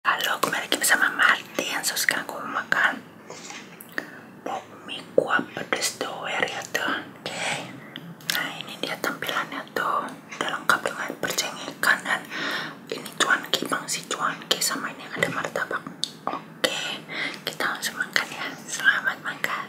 Halo, kembali lagi bersama Martin Sos sekarang aku makan Pop mie kuah pedes doer ya tuh Nah ini dia tampilannya tuh Udah lengkap dengan perceng ini cuan kipang si cuanki Sama ini ada martabak Oke Kita langsung makan ya Selamat makan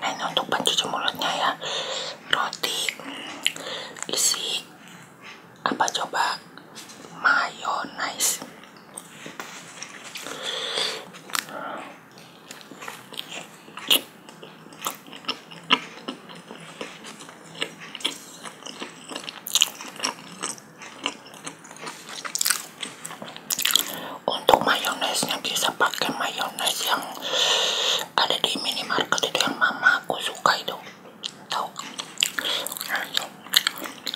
Nah ini untuk pencuci mulutnya ya Roti Isi Apa coba Mayonnaise untuk mayonesnya bisa pakai mayones yang ada di minimarket itu yang mama aku suka itu. Tahu?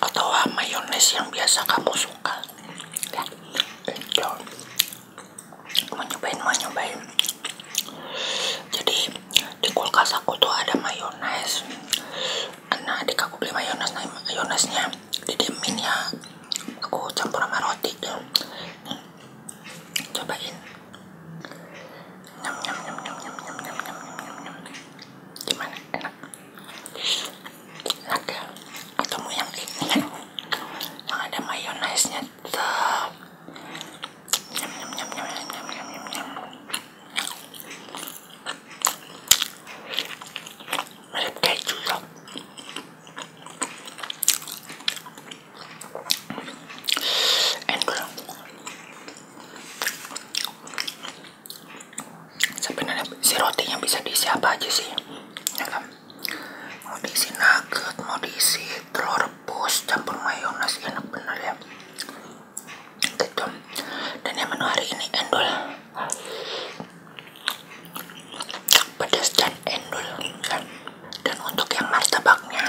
Atau mayones yang biasa kamu suka. Ya. Itu. Jadi di kulkas aku tuh ada mayones anak adik aku beli mayones nah mayonesnya didiemin ya aku campur sama roti ya. cobain nyam nyam nyam nyam nyam nyam nyam nyam nyam nyam yang ini yang ada mayonesnya tuh nyam nyam nyam nyam nyam nyam nyam nyam mirip keju sob endol sebenarnya si roti yang bisa disiap aja sih ya kan? mau diisi nugget mau diisi telur rebus campur mayones enak bener ya gitu dan yang menu hari ini endul pedas dan endul ya. dan, untuk yang martabaknya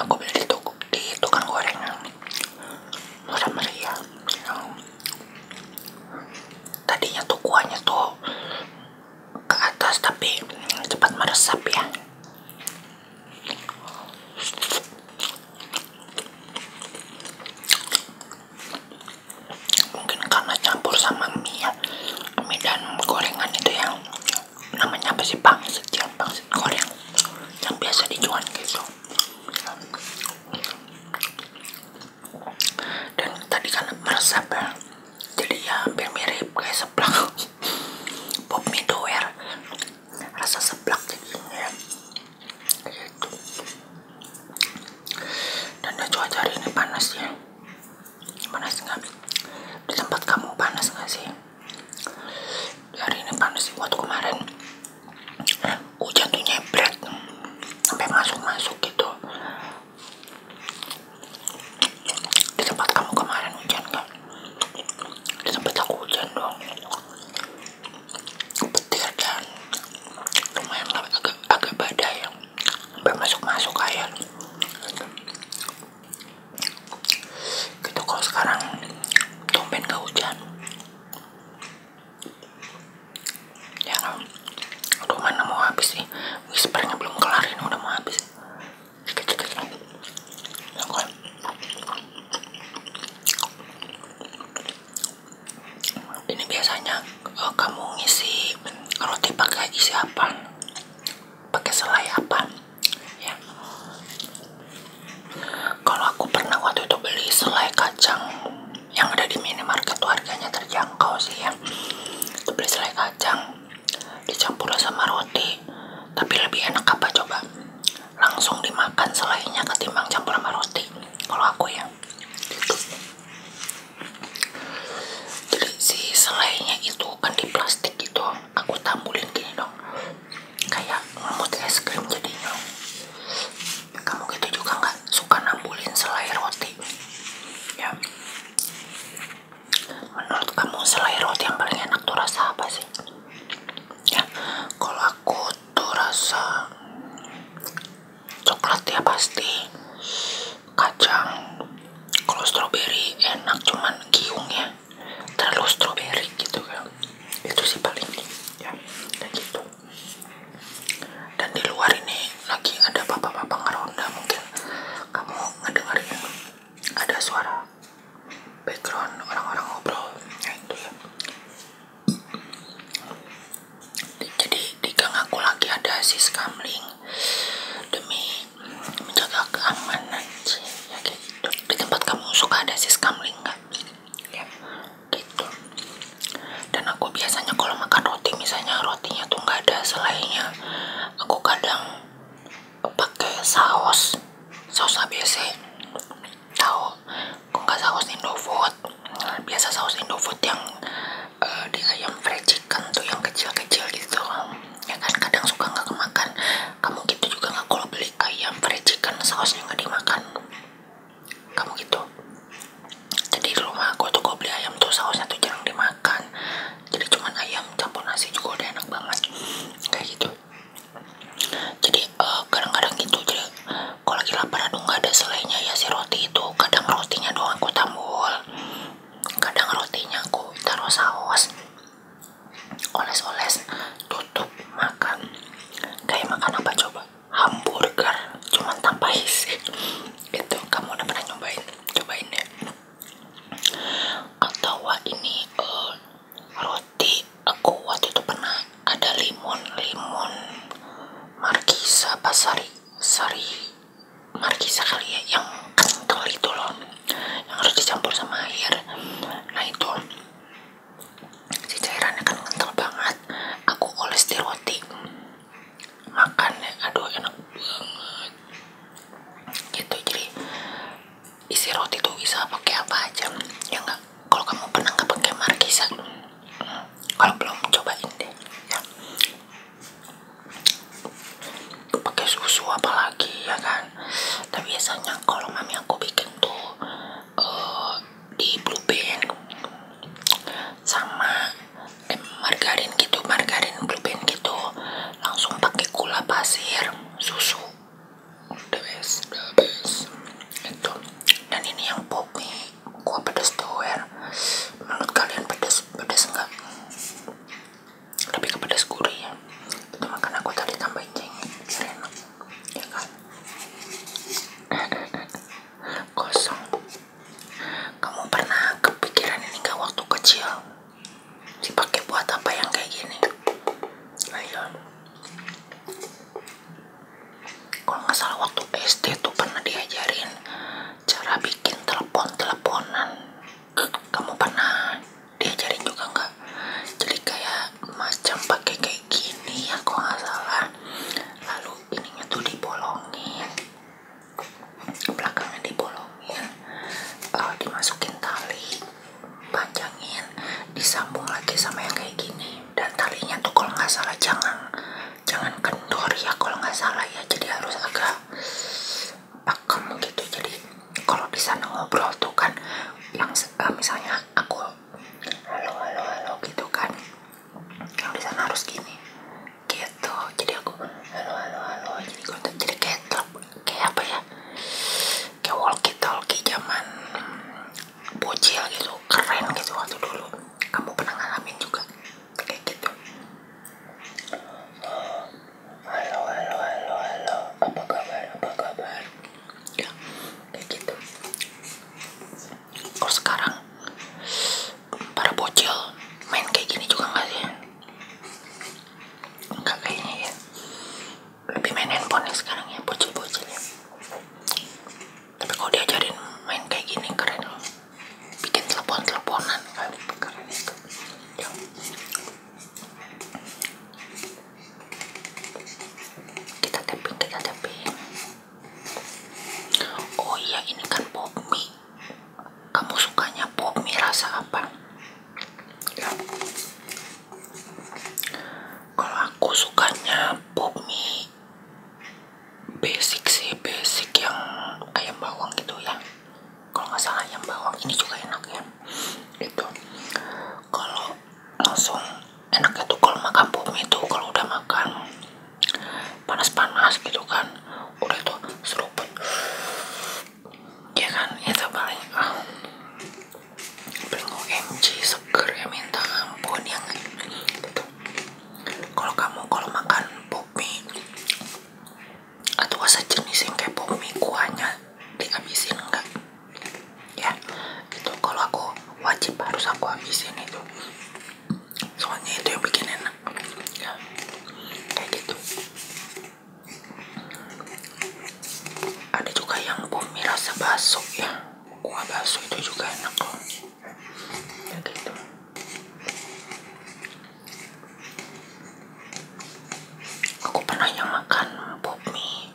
aku beli di, di tukang goreng murah meriah ya. tadinya tuh kuahnya tuh ke atas tapi cepat meresap ya mungkin karena campur sama mie ya. mie dan gorengan itu yang namanya apa sih pangsit ya pangsit goreng yang biasa dijual gitu dan tadi kan meresap ya jadi ya hampir mirip kayak seblak pop mie doer rasa seblak dagingnya gitu dan cuaca hari ini panas ya panas nggak di tempat kamu panas nggak sih di hari ini panas sih waktu kemarin hujan oh, tuh nyebret sampai masuk-masuk gitu di tempat kamu kemarin hujan nggak di tempat aku hujan dong petir dan lumayan agak agak badai yang masuk masuk air gitu kalau sekarang tumben gak hujan ya kan? aduh mana mau habis sih whispernya belum kelar ini udah mau habis dikit dikit ya kan ya, ini biasanya eh, kamu ngisi roti pakai isi apa pakai selai apa ya kalau aku pernah waktu itu beli selai kacang yang ada di minimarket tuh harganya terjangkau sih ya itu beli selai kacang dicampur sama roti tapi lebih enak apa coba langsung dimakan selainnya ketimbang campur sama roti kalau aku ya jadi si selainya itu kan di plastik gitu aku tambulin gini dong kayak ngemut es krim jadinya kamu gitu juga nggak suka nambulin selai roti ya menurut kamu selai roti yang paling enak tuh rasa apa sih ya kalau aku itu rasa coklat ya pasti kacang kalau stroberi enak cuman giungnya terlalu stroberi gitu kan itu sih paling ya dan gitu dan di luar ini lagi ada bapak-bapak ngeronda mungkin kamu ngedengerin ada suara background orang-orang ngobrol gitu ya itu jadi di gang aku lagi ada si skamling demi menjaga keamanan sih ya gitu di tempat kamu suka ada si skamling nggak ya. gitu dan aku biasanya kalau makan roti misalnya rotinya tuh nggak ada selainya aku kadang pakai saus saus ABC tau kok nggak saus indofood biasa saus indofood yang uh, di ayam fried chicken tuh yang kecil-kecil gitu ya kan kadang suka nggak kemakan kamu gitu juga nggak kalau beli ayam fried chicken sausnya nggak dimakan kamu gitu jadi di rumah aku tuh kalau beli ayam tuh sausnya tuh jarang dimakan jadi cuman ayam campur nasi juga udah enak banget kayak gitu jadi eh, kadang-kadang uh, itu jadi kalau lagi lapar aduh nggak ada selainya ya si roti itu kadang rotinya doang aku tambul kadang rotinya aku taruh saus oles-oles tutup makan kayak makan apa coba hamburger cuman tanpa isi itu kamu udah pernah nyobain cobain deh atau wah ini uh, roti aku waktu itu pernah ada limun limun markisa pasari sari markisa kali ya yang kental itu loh yang harus dicampur sama air nah itu si cairan kan kental banget aku oles di roti makannya aduh enak banget gitu jadi isi roti tuh bisa pakai apa aja ya enggak kalau kamu pernah nggak pakai markisa kalau belum cobain deh ya pakai susu apalagi ya kan tapi nah, biasanya kalau mami aku bikin tuh eh, di blue band sama margarin gitu margarin blue band gitu langsung pakai gula pasir susu the best the best itu dan ini yang poki kuah pedas tower ya. menurut kalian pedas pedas enggak lebih ke pedas gurih ya itu makan aku tadi tambahin cengin biar enak ya kan kosong kamu pernah kepikiran ini gak waktu kecil pakai buat apa yang kayak gini ayo kalau nggak salah waktu SD tuh pernah diajarin cara bikin telepon-teleponan kamu pernah diajarin juga nggak jadi kayak macam pakai kayak gini ya kalau nggak salah lalu ininya tuh dibolongin belakangnya dibolongin uh, dimasukin tali panjangin disambung lagi sama yang kayak gini dan talinya tuh kalau nggak salah jangan jangan kendor ya kalau nggak salah ya jadi harus agak pakem gitu jadi kalau di sana ngobrol tuh kan yang uh, misalnya aku halo halo halo gitu kan yang di sana harus gini gitu jadi aku halo halo halo jadi kau jadi kayak kayak apa ya kayak walkie talkie zaman bocil gitu keren gitu waktu dulu kamu pernah ngalamin juga kayak gitu halo halo halo halo apa kabar apa kabar ya, kayak gitu kalau sekarang para bocil main kayak gini juga nggak sih enggak kayaknya ya lebih main handphone ya sekarang ya bocil-bocil ya tapi kalau diajarin main kayak gini keren loh bikin telepon-teleponan kali keren itu ya. kita tapping kita tapping oh iya ini kan pop mie kamu sukanya pop mie rasa apa ya. Kalau aku sukanya pop mie basic sih, basic yang ayam bawang gitu ya. Kalau nggak salah ayam bawang ini juga enak ya. Itu kalau langsung enaknya tuh kalau makan pop mie itu kalau udah makan panas-panas gitu kan, udah tuh seruput. Ya kan, itu iya paling. Uh, ah. Bling OMG seger ya minta ampun yang gitu. Kalau kamu kalau makan popmi atau sejenis yang kayak popmi kuahnya dihabisin enggak? Ya itu kalau aku wajib harus aku habisin itu. Soalnya itu yang bikin enak. Ya, kayak gitu ada juga yang bumi rasa baso ya kuah baso itu juga enak loh ya gitu aku pernah yang makan bumi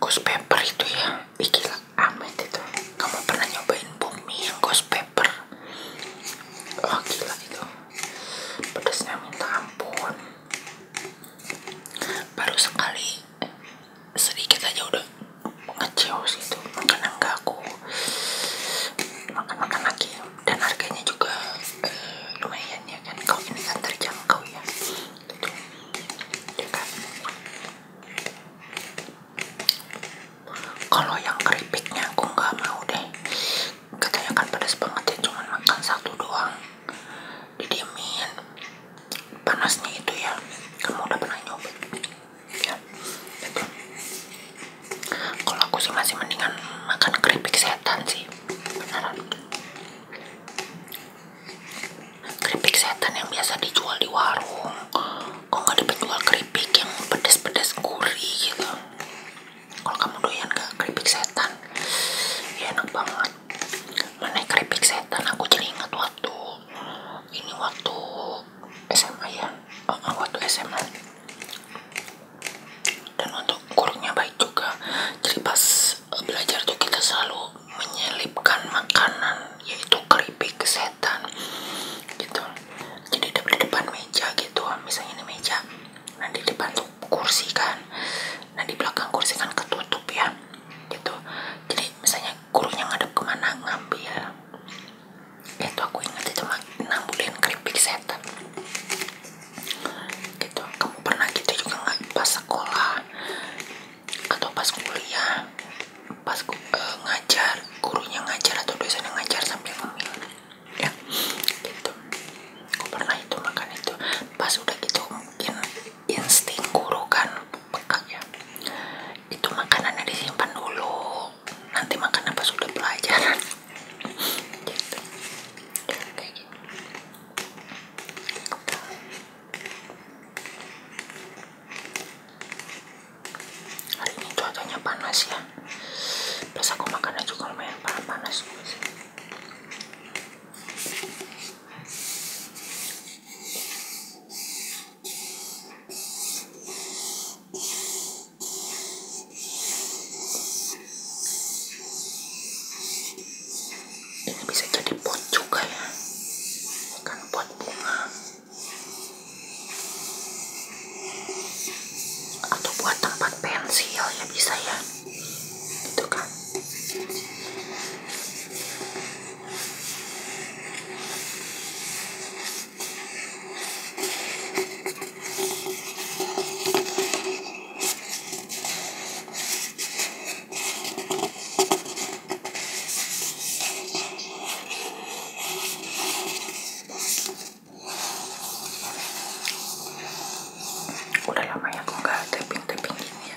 ghost pepper itu ya Ih, gila amit itu kamu pernah nyobain bumi yang ghost pepper oh gila itu pedasnya minta ampun baru sekali sedikit aja udah ngeceos gitu karena nggak aku makan-makan lagi dan harganya juga eh, lumayan ya kan kalau ini kan terjangkau ya gitu ya kan? kalau yang keripiknya aku nggak mau deh katanya kan pedas banget ya cuman makan satu doang didiemin panasnya itu ya kamu udah pernah nyoba ya itu kalau aku sih masih mendingan makan keripik setan sih beneran keripik setan yang biasa dijual di warung kok gak ada penjual keripik yang pedes-pedes gurih gitu kalau kamu doyan ke keripik setan ya enak banget menaik keripik setan aku jadi ingat waktu ini waktu SMA ya uh, waktu SMA dan untuk kurungnya baik juga jadi pas belajar tuh kita selalu menyelipkan makanan yaitu keripik setan gitu jadi di depan meja gitu misalnya ini meja nah di depan tuh kursi kan nah di belakang kursi kan ketutup ya gitu jadi misalnya gurunya ngadep kemana ngambil ya. itu aku ingat itu makna nambulin keripik setan gitu kamu pernah gitu juga nggak pas sekolah atau pas kuliah pas e, ngajar gurunya ngajar atau biasanya ngajar sambil ngemil ya gitu aku pernah itu makan itu pas udah gitu mungkin insting guru kan peka ya itu makanannya disimpan dulu nanti makan apa sudah pelajaran gitu. Gitu. hari ini cuacanya panas ya terus aku makannya juga lumayan panas ini bisa jadi pot juga ya. Ini kan pot bunga. Atau buat tempat pensil ya bisa ya. Kan. udah lama ya aku nggak tapping tapping gini ya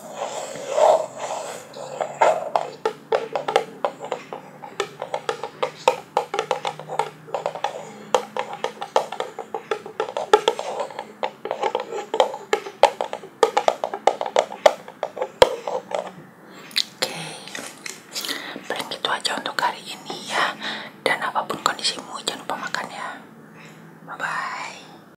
Oke, paling itu aja untuk hari ini ya. Dan apapun kondisimu, jangan lupa makan ya. Bye bye.